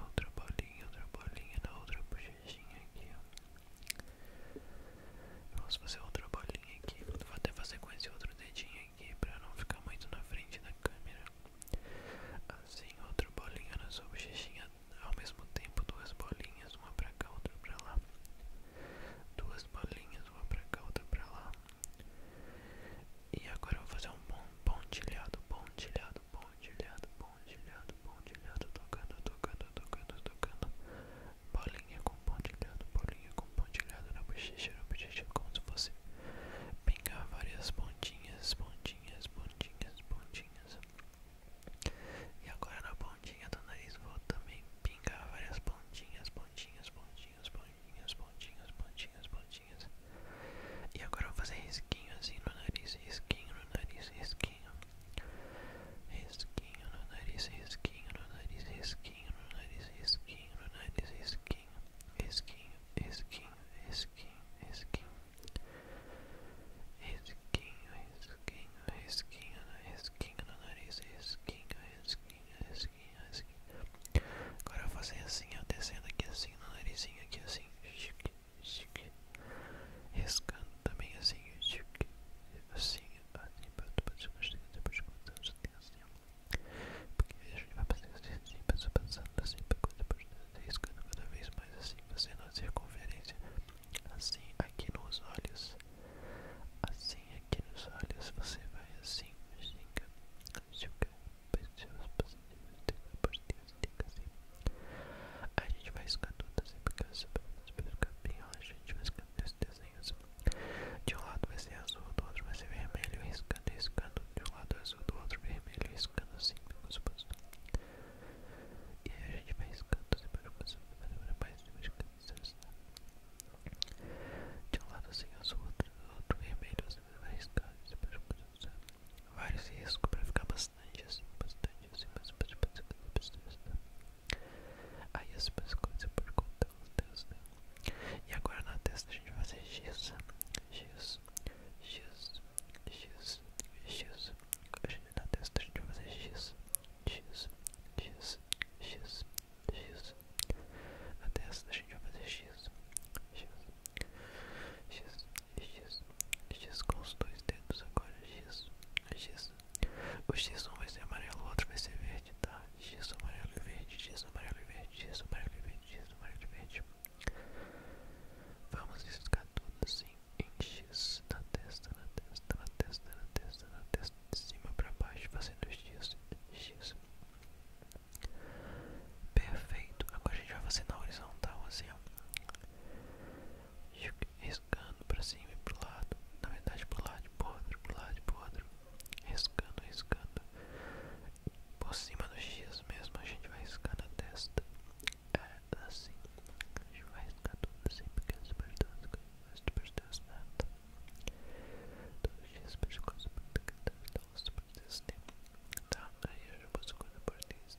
Outra bolinha, outra bolinha na outra bochechinha aqui, ó. Vamos fazer outra bolinha aqui. Vou até fazer com esse outro dedinho aqui pra não ficar muito na frente da câmera. Assim, outra bolinha na sua bochechinha. Ao mesmo tempo, duas bolinhas, uma pra cá, outra pra lá. Duas bolinhas, uma pra cá, outra pra lá. E agora eu vou fazer um pontilhado, pontilhado, pontilhado, pontilhado, pontilhado, tocando, tocando, tocando, tocando. Bolinha com pontilhado, bolinha com pontilhado na bochecha, na bochecha, como você pingar várias pontinhas, pontinhas, pontinhas, pontinhas. E agora na pontinha do nariz vou também pingar várias pontinhas, pontinhas, pontinhas, pontinhas, pontinhas, pontinhas, pontinhas. E agora vou fazer risquinho assim no nariz, risquinho no nariz, esquinho esquinho no nariz, esquinho no nariz, esquinho no nariz, esquinho no nariz, esquinho esquinho esquinho esquinho esquinho esquinho esquinho esquinho esquinho esquinho esquinho esquinho esquinho esquinho esquinho Agora fazem assim, ó, descendo aqui assim no narizinho, aqui assim, chique. Riscando também ah, assim, Assim, assim, para depois de gostar, depois de gostar, já tem assim. Porque a gente vai fazer assim, passou passando assim, para coisa, depois de riscando cada vez mais assim, fazendo a circunferência. Assim, aqui nos olhos. Assim, aqui nos olhos, você vai assim, assim chica, chica, a gente vai escando todas se implicações para ficar bem relaxante, vai escando esses desenhos. De um lado vai ser azul, do outro vai ser vermelho, riscando, riscando. De um lado é azul, do outro vermelho, riscando assim, como suposto. E aí a gente vai riscando as implicações para mais implicações. Assim. De um lado assim, azul, do outro vermelho, você assim, vai riscando, assim, vários riscos para ficar bastante. substâncias, substâncias, substâncias, substâncias. Aí as suas coisas por conta dos deus, né? E agora na testa a gente vai fazer X, X, X, X, X. Na testa a gente vai fazer X, X, X, X, X. Na testa a gente vai fazer X, X, X, X, X com os dois dedos agora, X, X. O X1 vai ser amarelo, o outro vai ser verde, tá? X amarelo e verde, X amarelo e verde, X amarelo e verde, X amarelo e verde. Vamos riscar tudo assim em X na testa, na testa, na testa, na testa, na testa, de cima pra baixo, fazendo X, X. Perfeito, agora a gente vai fazer na horizontal assim ó riscando pra cima e pro lado, na verdade pro lado e pro outro, pro lado e pro outro, riscando, riscando, por cima dos X mesmo a gente vai riscando a testa, é assim, a gente vai riscar tudo assim, porque é super tosco, é super tosco, né? todos os dias, pescoço, muito que tá, tá, super né? tá, aí eu já posso correr por isso,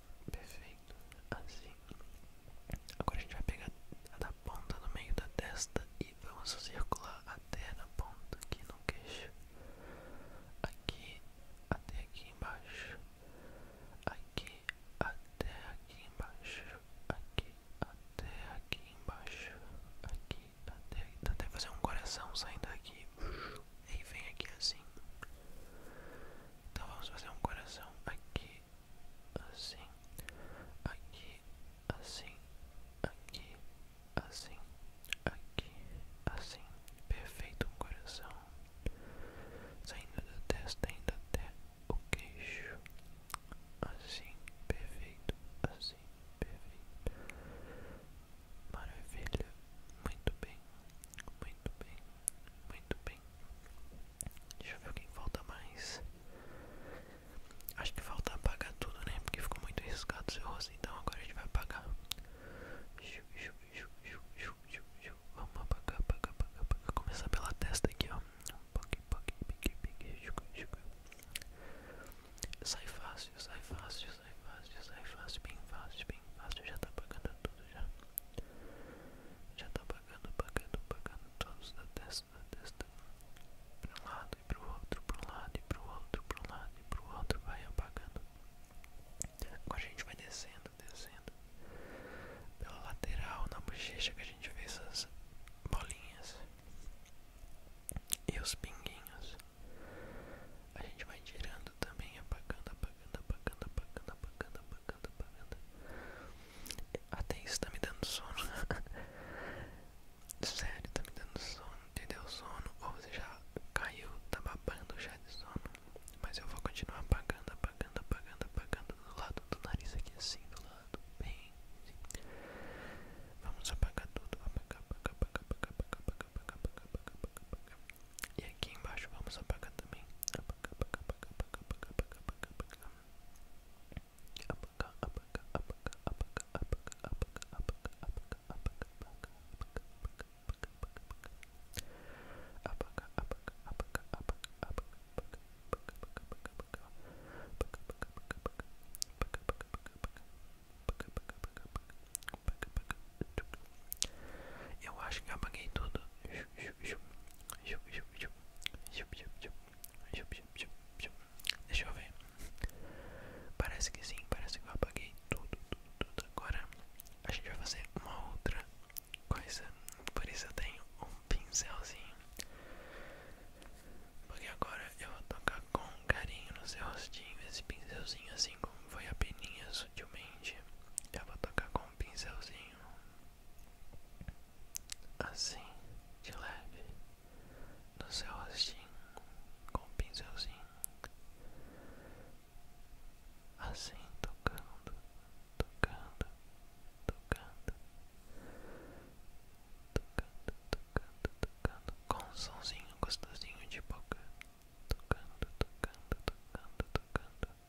Perfeito, assim. Agora a gente vai pegar a da ponta no meio da testa e vamos circular até na ponta aqui no queixo. Aqui até aqui embaixo. Aqui até aqui embaixo. Aqui até aqui embaixo. Aqui até aqui. Dá até fazer um coração saindo aqui. E vem aqui assim. Então vamos fazer um coração aqui assim, aqui, assim, aqui, assim, aqui, assim, perfeito um coração, saindo da testa indo até o queixo, assim, perfeito, assim, perfeito, maravilha, muito bem, muito bem, muito bem. Deixa eu ver quem falta mais. Acho que falta apagar tudo, né? Porque ficou muito riscado o seu rosto. Então agora a gente vai apagar. Vamos apagar, apagar, apagar, apagar. Começar pela testa aqui, ó. Sai fácil, sai fácil, sai fácil, sai fácil, bem fácil, bem fácil. Já tá apagando tudo já. Já tá apagando apagando, apagando, apagando todos da testa, da testa para um lado e para o outro, para um lado e para o outro, para um lado e para o outro, vai apagando. Agora a gente vai descendo, descendo pela lateral na bochecha que a gente vê essas bolinhas e os pinguinhos. A gente vai tirando também, apagando, apagando, apagando, apagando, apagando, apagando. Até isso tá me dando sono. Sério, tá me dando sono. Te deu sono ou você já caiu, tá babando já de sono. Mas eu vou continuar apagando, apagando, apagando, apagando do lado do nariz aqui assim, do lado bem. Vamos apagar tudo, apagar, apagar, apagar, apagar, apagar, apagar, apagar, apagar, apagar, apagar. E aqui embaixo vamos apagar também. apagar, apagar, apagar, apagar, apagar, apagar. Eu acho que apaguei tudo. Chup, chup, chup, chup, chup, chup, chup, chup, chup, Deixa eu ver. Parece que sim, parece que eu apaguei tudo, tudo, Agora a gente vai fazer uma outra coisa. Por isso eu tenho um pincelzinho. Porque agora eu vou tocar com carinho no seu rostinho. Esse pincelzinho, assim como foi a peninha sutilmente, eu vou tocar com um pincelzinho assim de leve no seu rostinho com um pincelzinho, assim tocando, tocando, tocando, tocando, tocando, tocando, com um sonzinho gostosinho de boca, tocando, tocando, tocando, tocando.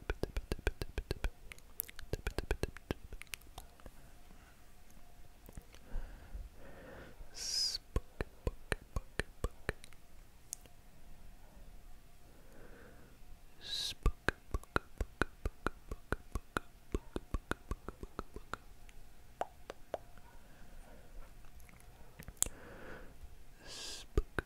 Spook, book, book, book. Spook, book, book, book, book, book, book, book, book, book. Spook,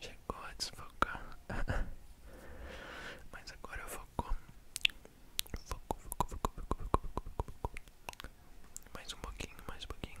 Chegou a desfocar. Mas agora focou. Focou, focou, focou, focou, focou, focou, focou. Mais um pouquinho, mais um pouquinho.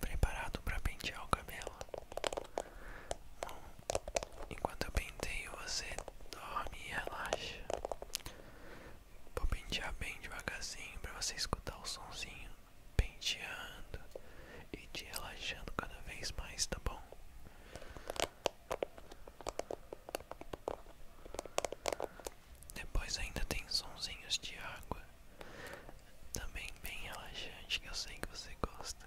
Preparado para pentear o cabelo? enquanto eu penteio, você dorme e relaxa. Vou pentear bem devagarzinho para você escutar o sonzinho penteando e te relaxando cada vez mais, tá bom? Depois ainda tem sonzinhos de água, também bem relaxante que eu sei que você gosta.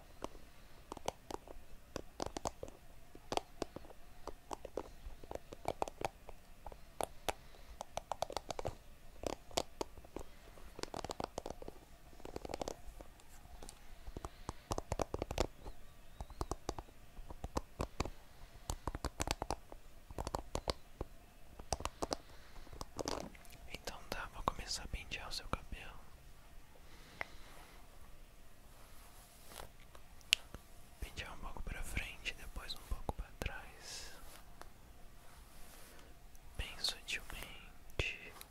Então dá, tá, vou começar a pentear o seu cabelo. Pentear um pouco para frente, depois um pouco para trás, bem sutilmente. Muito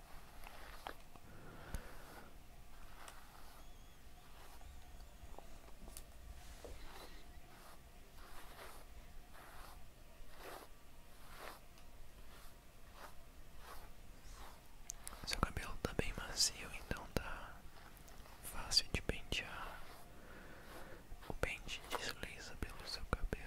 Seu cabelo tá bem macio, então tá fácil de pentear. O pente desliza pelo seu cabelo.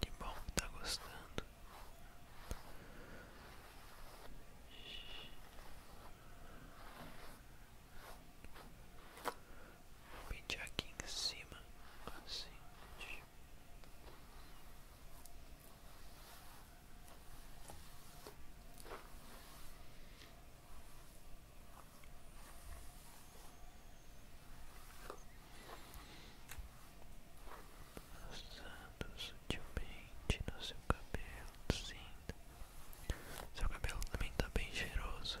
Que bom que tá gostando. Vou pentear aqui em cima, assim passando sutilmente no seu cabelo, tá sim. Seu cabelo também está bem cheiroso.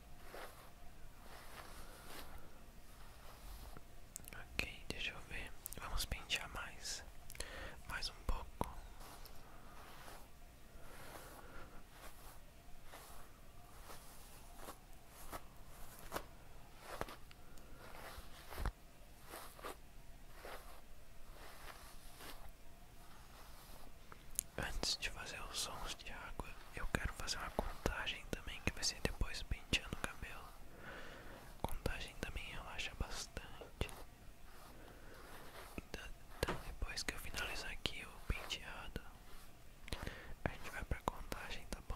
Ok, deixa eu ver. Vamos pentear mais. Mais um pouco. Antes de fazer os sons de água. Eu quero fazer uma contagem também, que vai ser depois penteando o cabelo. Contagem também relaxa bastante. Então, então depois que eu finalizar aqui o penteado, a gente vai pra contagem, tá bom?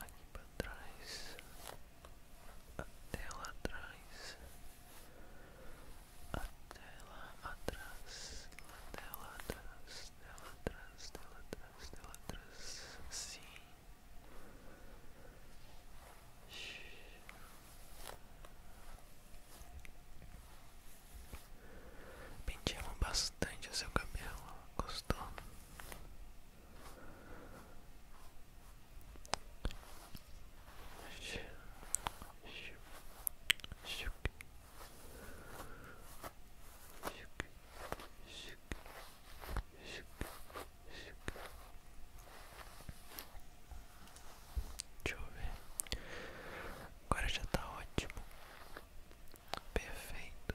Aqui para trás, até lá atrás a tela atrás, a tela atrás, tela atrás, tela atrás, tela atrás, sim. Penteamos bastante o seu cabelo, gostou? Deixa eu ver. Agora já está ótimo. Perfeito.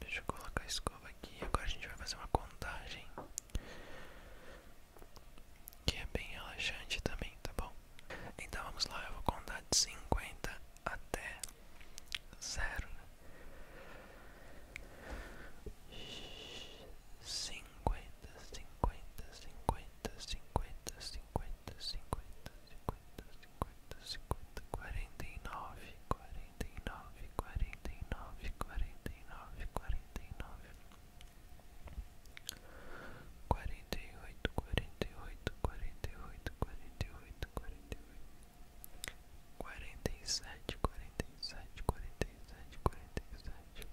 Deixa eu colocar a escova aqui. Agora a gente vai fazer uma contagem que é bem relaxante também, tá bom? Então vamos lá, eu vou contar de cinquenta até zero. Cinquenta, cinquenta, cinquenta, cinquenta, cinquenta, cinquenta, cinquenta, cinquenta, cinquenta, quarenta e nove, quarenta e nove, quarenta e nove, quarenta e nove, quarenta e nove quarenta e oito, quarenta e oito, quarenta e oito, quarenta e oito, quarenta e oito, quarenta e sete, quarenta e sete, quarenta e sete, quarenta e sete,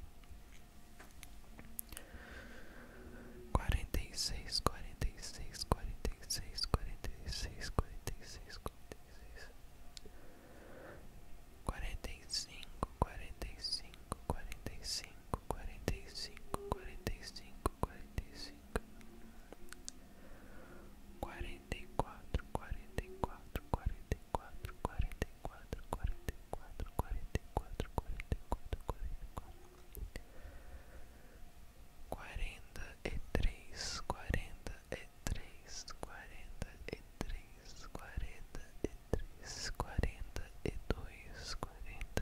quarenta e seis, quarenta e seis, quarenta e seis, quarenta e seis, quarenta e seis, quarenta e seis. e e e cinco cinco 45, 45, 45, 45, 45, quarenta e cinco, quarenta e quatro, quarenta e quatro, quarenta e quatro, quarenta e quatro, quarenta e quatro, quarenta e quatro, quarenta e quatro, quarenta e quatro, quarenta e três, quarenta e três, quarenta e três, quarenta e três, quarenta e dois, quarenta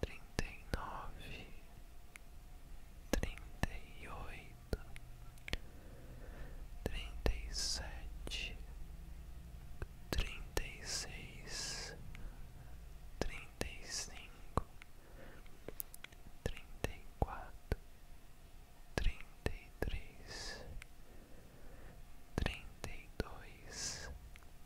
trinta e nove, trinta e oito, trinta e sete, trinta e seis, trinta e cinco, trinta e quatro, trinta e três, trinta e dois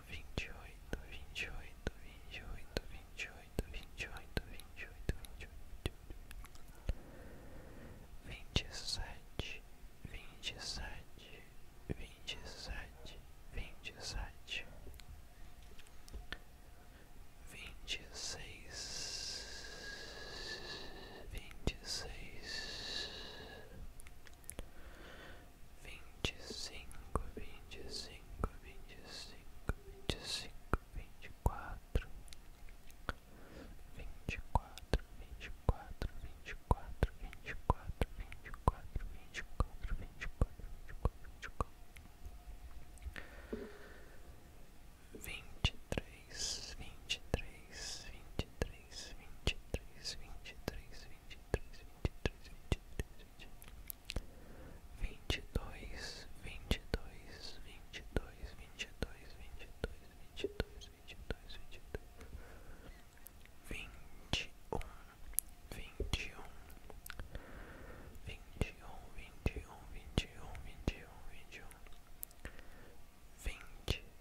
oito, vinte e oito, vinte e oito, vinte e oito, vinte e oito, vinte e oito, vinte e oito, vinte e sete, vinte e sete, vinte e sete, vinte e sete, vinte e seis, vinte e seis vinte e cinco, vinte e cinco, vinte e cinco, vinte e cinco, vinte e quatro, vinte e quatro, vinte e quatro, vinte e quatro, vinte e quatro, vinte e quatro, vinte e quatro, vinte e quatro, vinte e quatro, vinte e três, vinte e três, vinte e três vinte e três, vinte e três, vinte e três, vinte e três, vinte e três, vinte e dois, vinte e dois, vinte e dois, vinte e dois, vinte e dois, vinte e dois, vinte e dois, vinte e dois, vinte um, vinte um, vinte um, vinte um, vinte um, vinte um, vinte um, vinte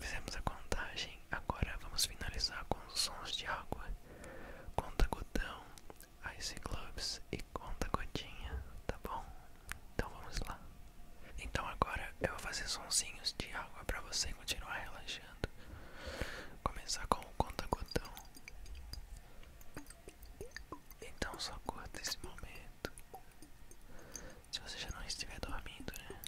Fizemos a contagem, agora vamos finalizar com os sons de água. Conta gotão, ice gloves e conta gotinha, tá bom? Então vamos lá. Então agora eu vou fazer sonsinhos de água para você continuar relaxando. Começar com o conta gotão. Então só curta esse momento. Se você já não estiver dormindo, né?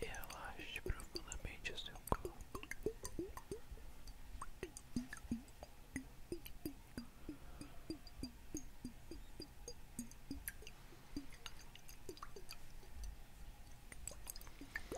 E relaxe profundamente o seu corpo.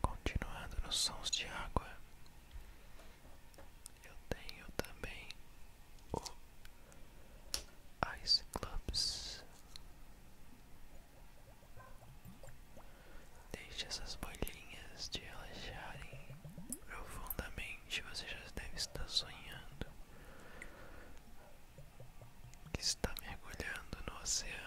Continuando nos sons de água, eu tenho também o Ice Clubs. Deixe essas bolinhas de relaxarem profundamente. Você já deve estar sonhando que está mergulhando no oceano.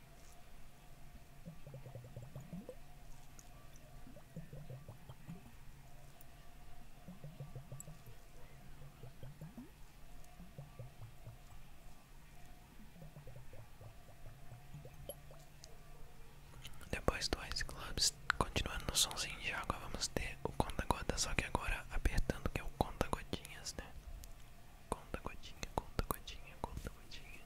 Depois do Ice Clubs, continuando no somzinho de água, vamos ter o conta-gota, só que agora apertando que é o conta godinhas né? Conta gotinha, conta gotinha, conta gotinha.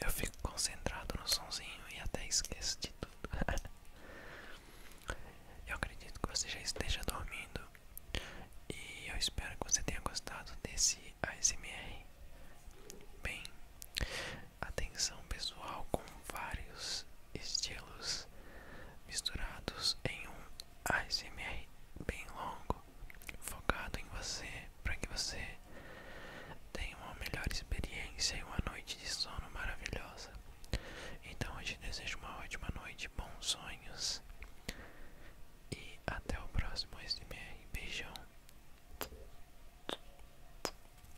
Eu fico concentrado no sonzinho e até esqueço de tudo. eu acredito que você já esteja dormindo e eu espero que você tenha gostado desse ASMR. Bem, atenção pessoal com vários estilos misturados em um ASMR bem longo, focado em você, para que você tenha uma melhor experiência e uma noite de sono maravilhosa. Então eu te desejo uma ótima noite, bons sonhos e até o próximo ASMR. Beijão.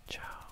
Tchau.